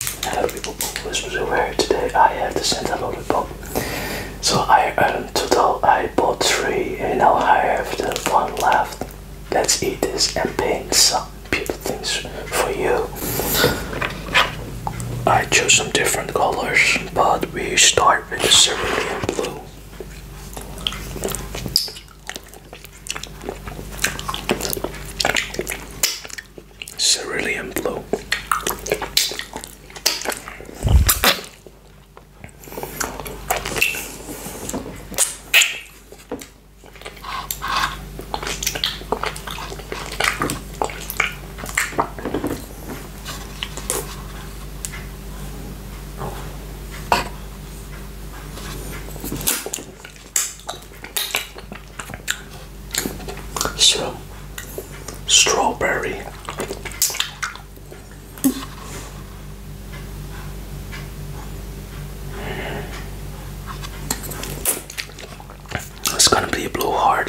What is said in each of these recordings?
Hello uh, people, this was over here today. I have to send a lot of lollipop. So I earned total, I bought three and now I have the one left. Let's eat this and paint some beautiful things for you. I chose some different colors, but we start with the cerulean blue. Cerulean blue. So, strawberry. It's gonna be blue hard.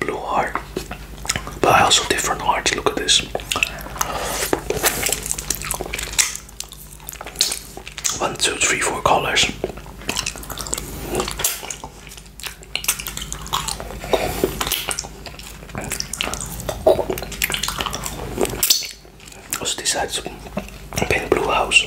blue heart, but also different hearts. Look at this. One, two, three, four colors. Also decide to paint blue house.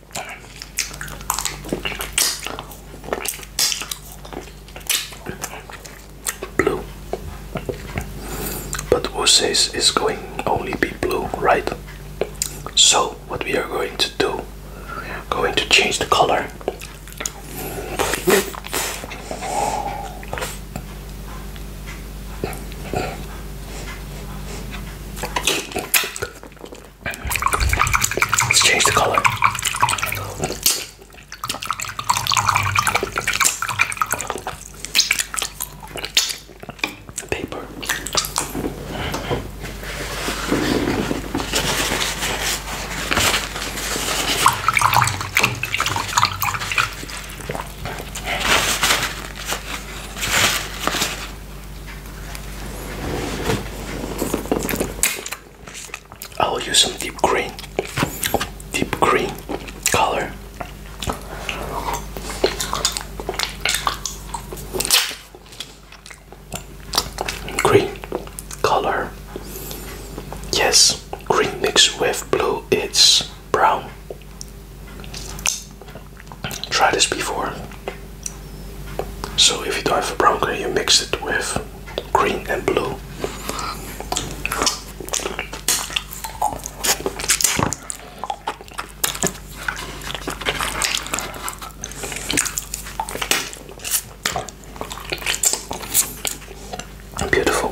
but who says it's going only be blue right so what we are going to do going to change the color Let's change the color. Paper. I will use some deep green, deep green color. Green color. Yes, green mixed with blue, it's brown try this before. So if you don't have a brown curry, you mix it with green and blue. Beautiful.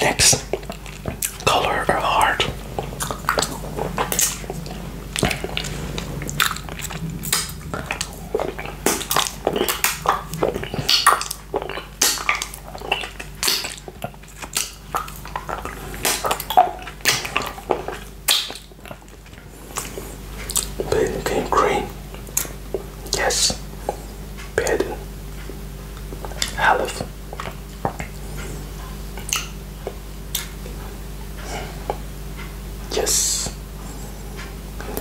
Next color or heart. Bacon cream, yes, bacon, halif. Yes,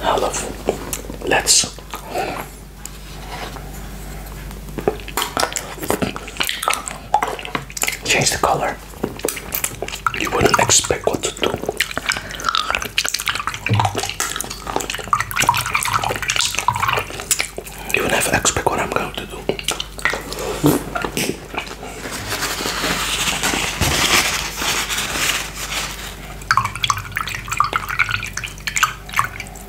halif. Let's Change the color. You wouldn't expect what to do. You would never expect what I'm going to do.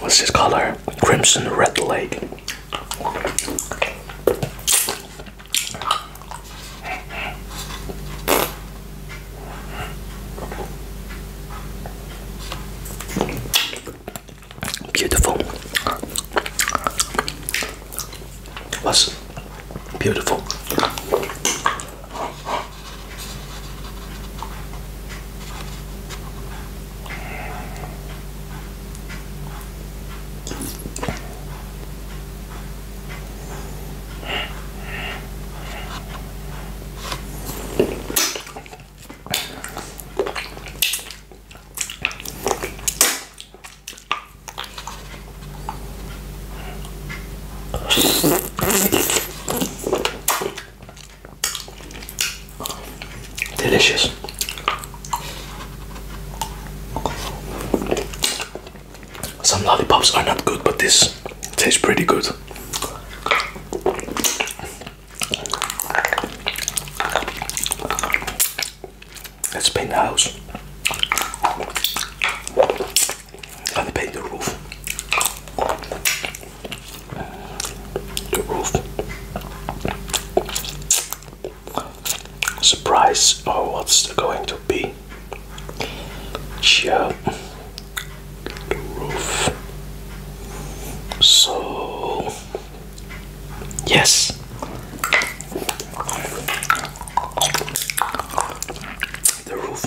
What's this color? Crimson Red Lake. Beautiful. Listen, beautiful. Delicious. Some lollipops are not good, but this tastes pretty good. Let's paint the house and paint the roof. The roof. Surprise! Oh, what's going to be? Yeah, the roof. So yes. The roof.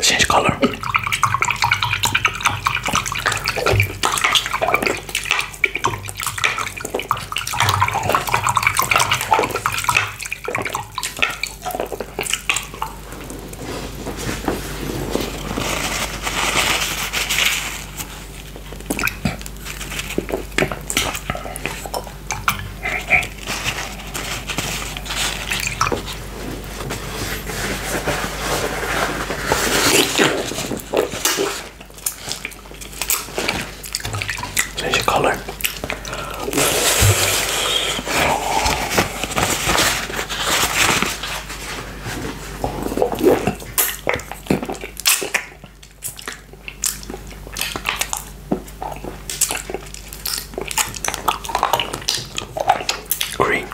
Change color. Change the color. Green.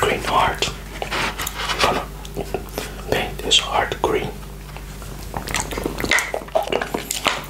Green heart. Paint is hard green.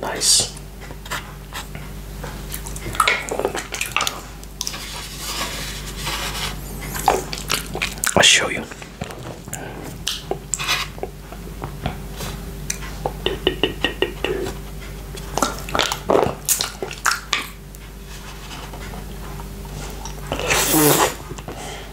Nice. I'll show you.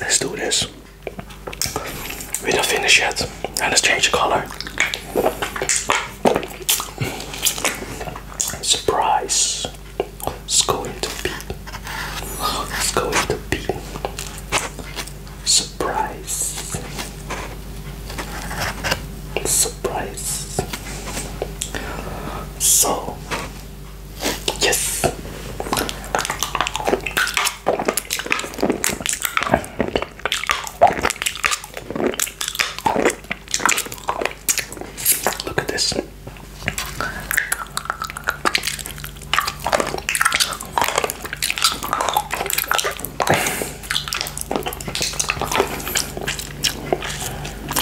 Let's do this. We don't finish yet. Now let's change the color. Surprise. It's going to be. It's going to be. Surprise. Surprise price. So, yes. Look at this.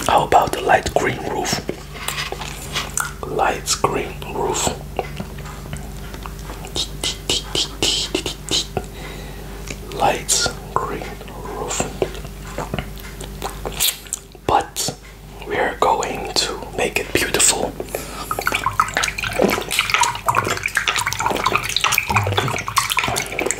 How about the light green roof? Light green roof. Light green roof. But we are going to make it beautiful.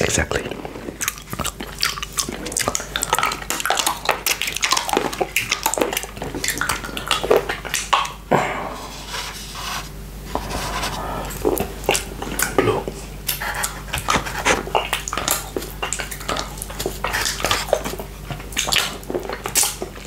Exactly. Blue.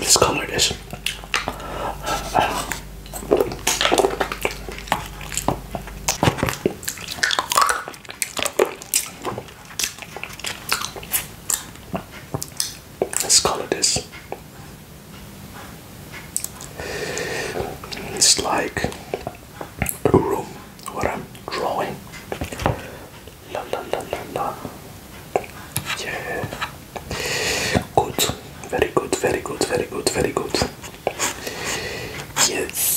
This color is Let's call it this. It's like a room where I'm drawing. La la la la la. Yeah. Good. Very good, very good, very good, very good. Yes.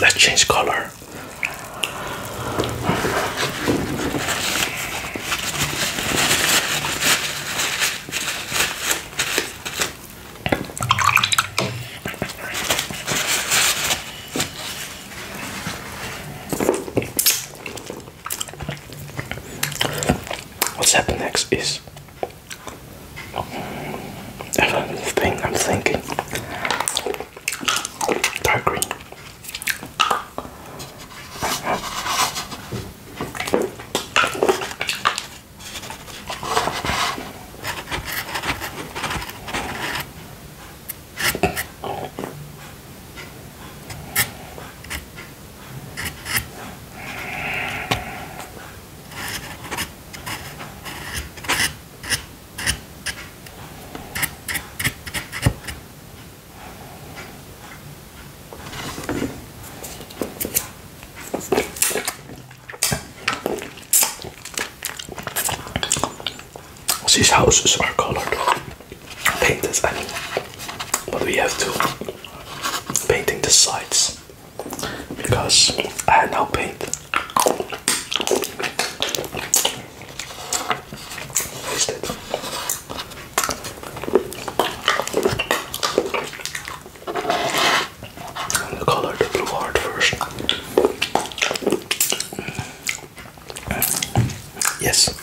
Let's change color. What's happened next is another thing I'm thinking. Dark green. These houses are colored painters. I mean, but we have to painting the sides because I now paint what is I'm gonna color the blue heart first. Yes,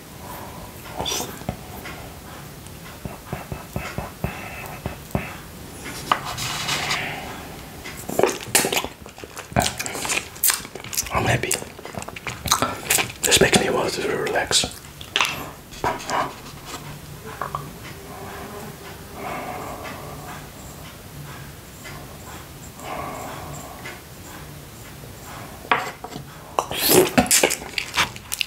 I'm happy. This makes me want to relax.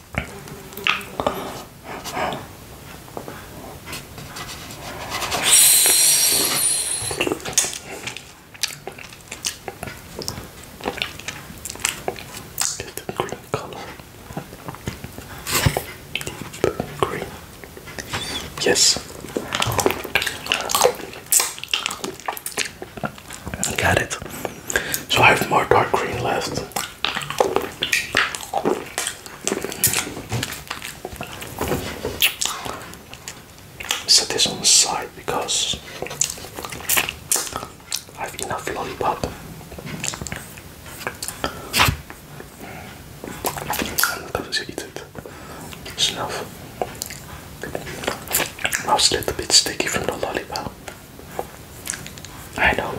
Get the green color. Deep green. Yes. Got it. So I have more dark green left. Set this on the side because I have enough lollipop. I'm going to eat it. It's enough. Now it's a little bit sticky from the lollipop. I know.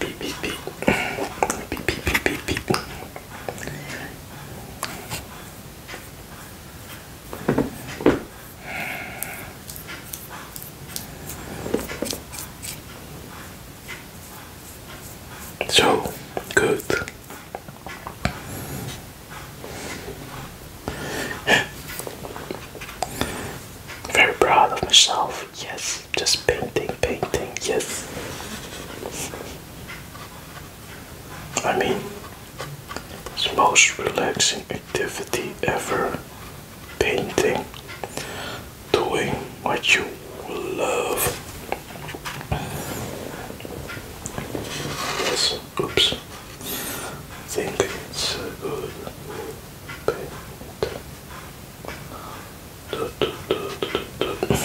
Beep, beep, beep, beep. Beep, beep, beep, beep, beep. So good. Very proud of myself, yes. Just painting, painting, yes. I mean, it's most relaxing activity ever. Painting, doing what you love. Yes, oops. think it's good paint. Du, du, du, du,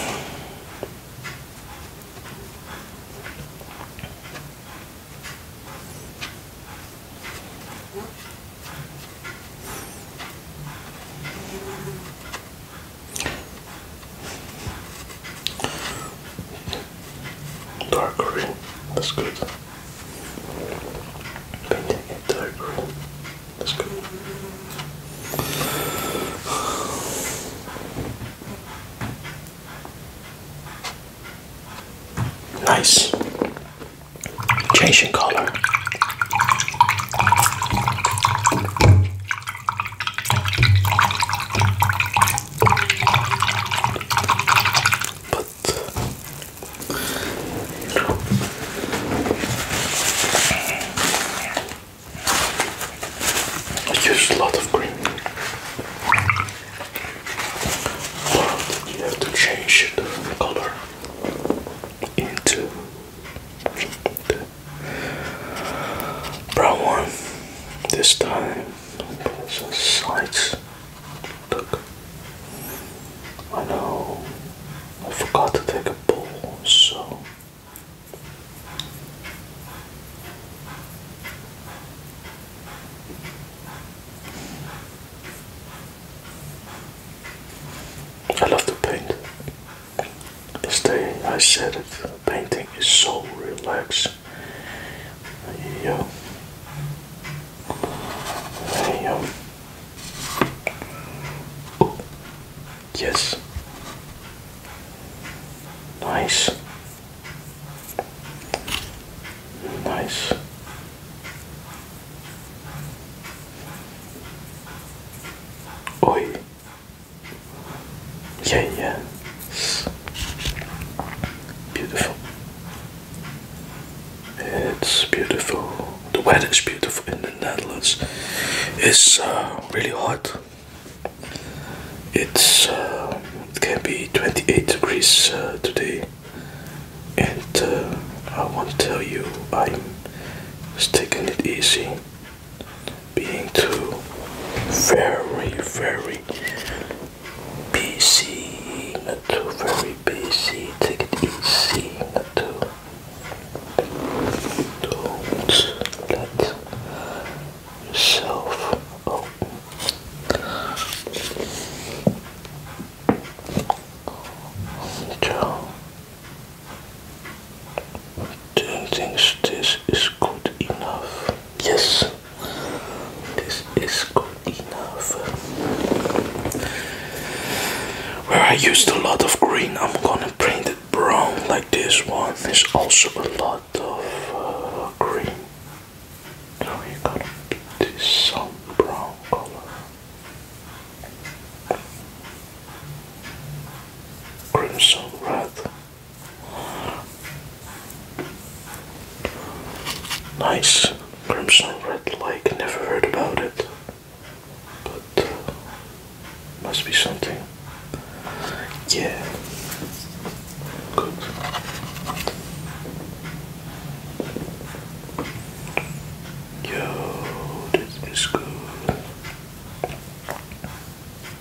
Dark green, that's good. Painting it dark green, that's good. Nice. Changing color. But I use a lot of green. But you have to change the color into the brown one this time. Some slides. Look. I know I forgot to take a bowl, so I love to paint. This I said it, painting is so relaxed. Hey, yo. Um, yes. Nice. Nice. Oi. Yeah, yeah. Beautiful. It's beautiful. The weather is beautiful in the Netherlands. It's uh, really hot. It's uh, it can be 28 degrees uh, today, and I want to tell you I'm taking it easy being too very, very busy, not too very busy, take it easy, not too. Don't let yourself oh. Do you think this is good enough? Yes, this is good enough. Where I used a lot of green, I'm gonna paint it brown like this one. There's also a lot of uh, green. Now we're to give some brown color. Crimson red. Nice. Crimson Red Lake, never heard about it. But uh, must be something. Yeah. Good. Yo, this is good.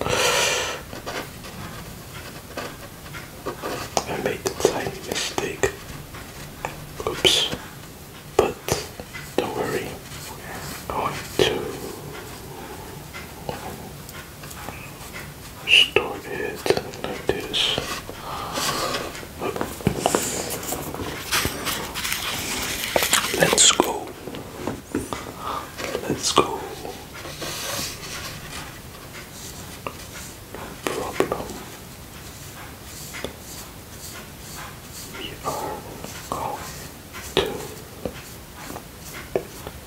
I made a tiny mistake. Oops. But don't worry. I'm going to store it like this. Let's go. Let's go. No problem. We are going to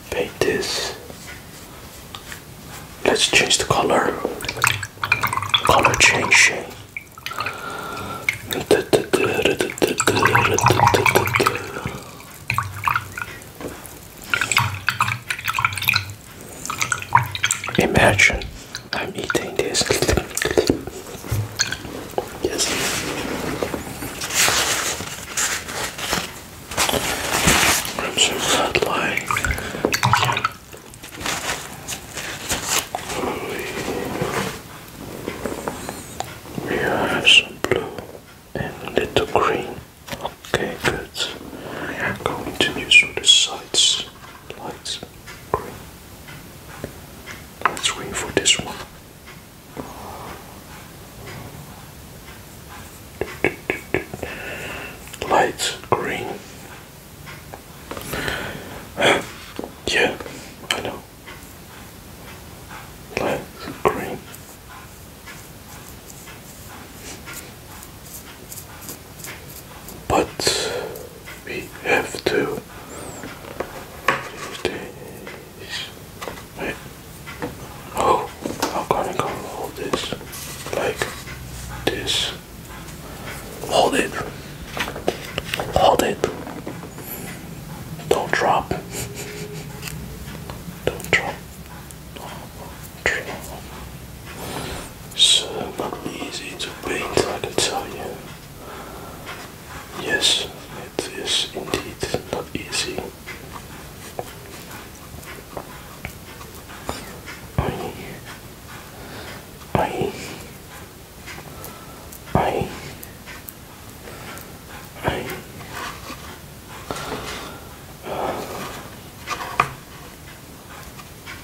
paint this. Let's change the color. Color changing. Imagine I'm eating this. yes. I'm so sad, like. We have some blue and little green. Okay, good. We are going to use on the sides. Lights green. Light green for this one. Lights green. yeah, I know. Light green. But we have to Oh, I'm gonna go hold this like this. Hold it. Hold it. Don't drop. Don't drop. Don't drop. It's uh, easy to paint, I can tell you. Yes, it is indeed not easy. I, I, I,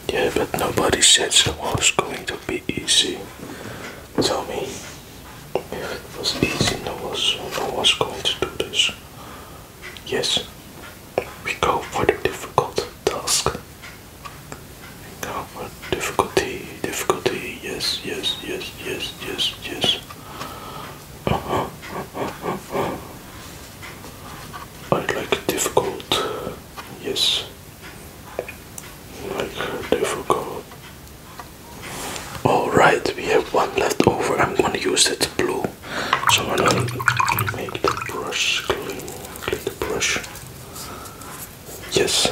yeah, but nobody said it was going to be easy. Tell me, if it was easy, no one was, no was going to do this. Yes, we go for the difficult task. We difficulty, difficulty, yes, yes, yes, yes, yes, yes. I like difficult, yes, like difficult. Alright, we have one left over. I'm gonna use it blue. So I'm gonna make the brush clean, clean the brush. Yes.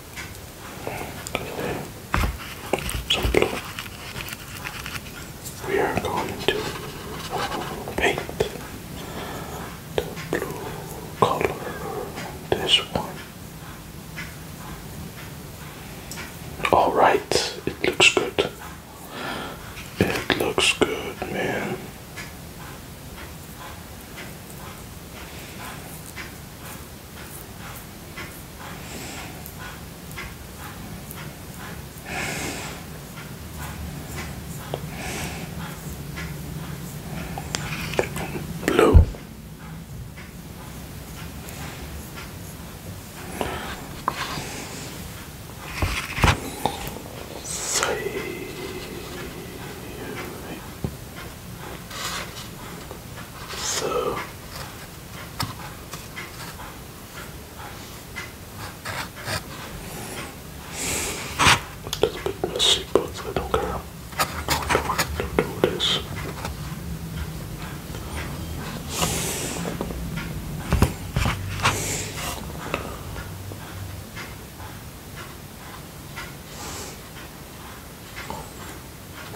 some blue. We are going to paint the blue color this one. All right, it looks good. It looks good, man. Blue. Say so. A bit messy, but I don't care. Don't do this.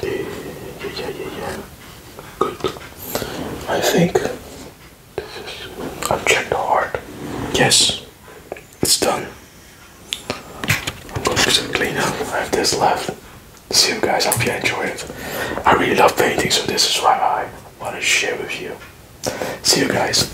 Yeah, yeah, yeah, yeah, Good. I think this is. I've checked the heart. Yes, it's done. I'm going to some clean up. I have this left. See you guys. I Hope you enjoy it. I really love painting, so this is why I want to share with you. See you guys.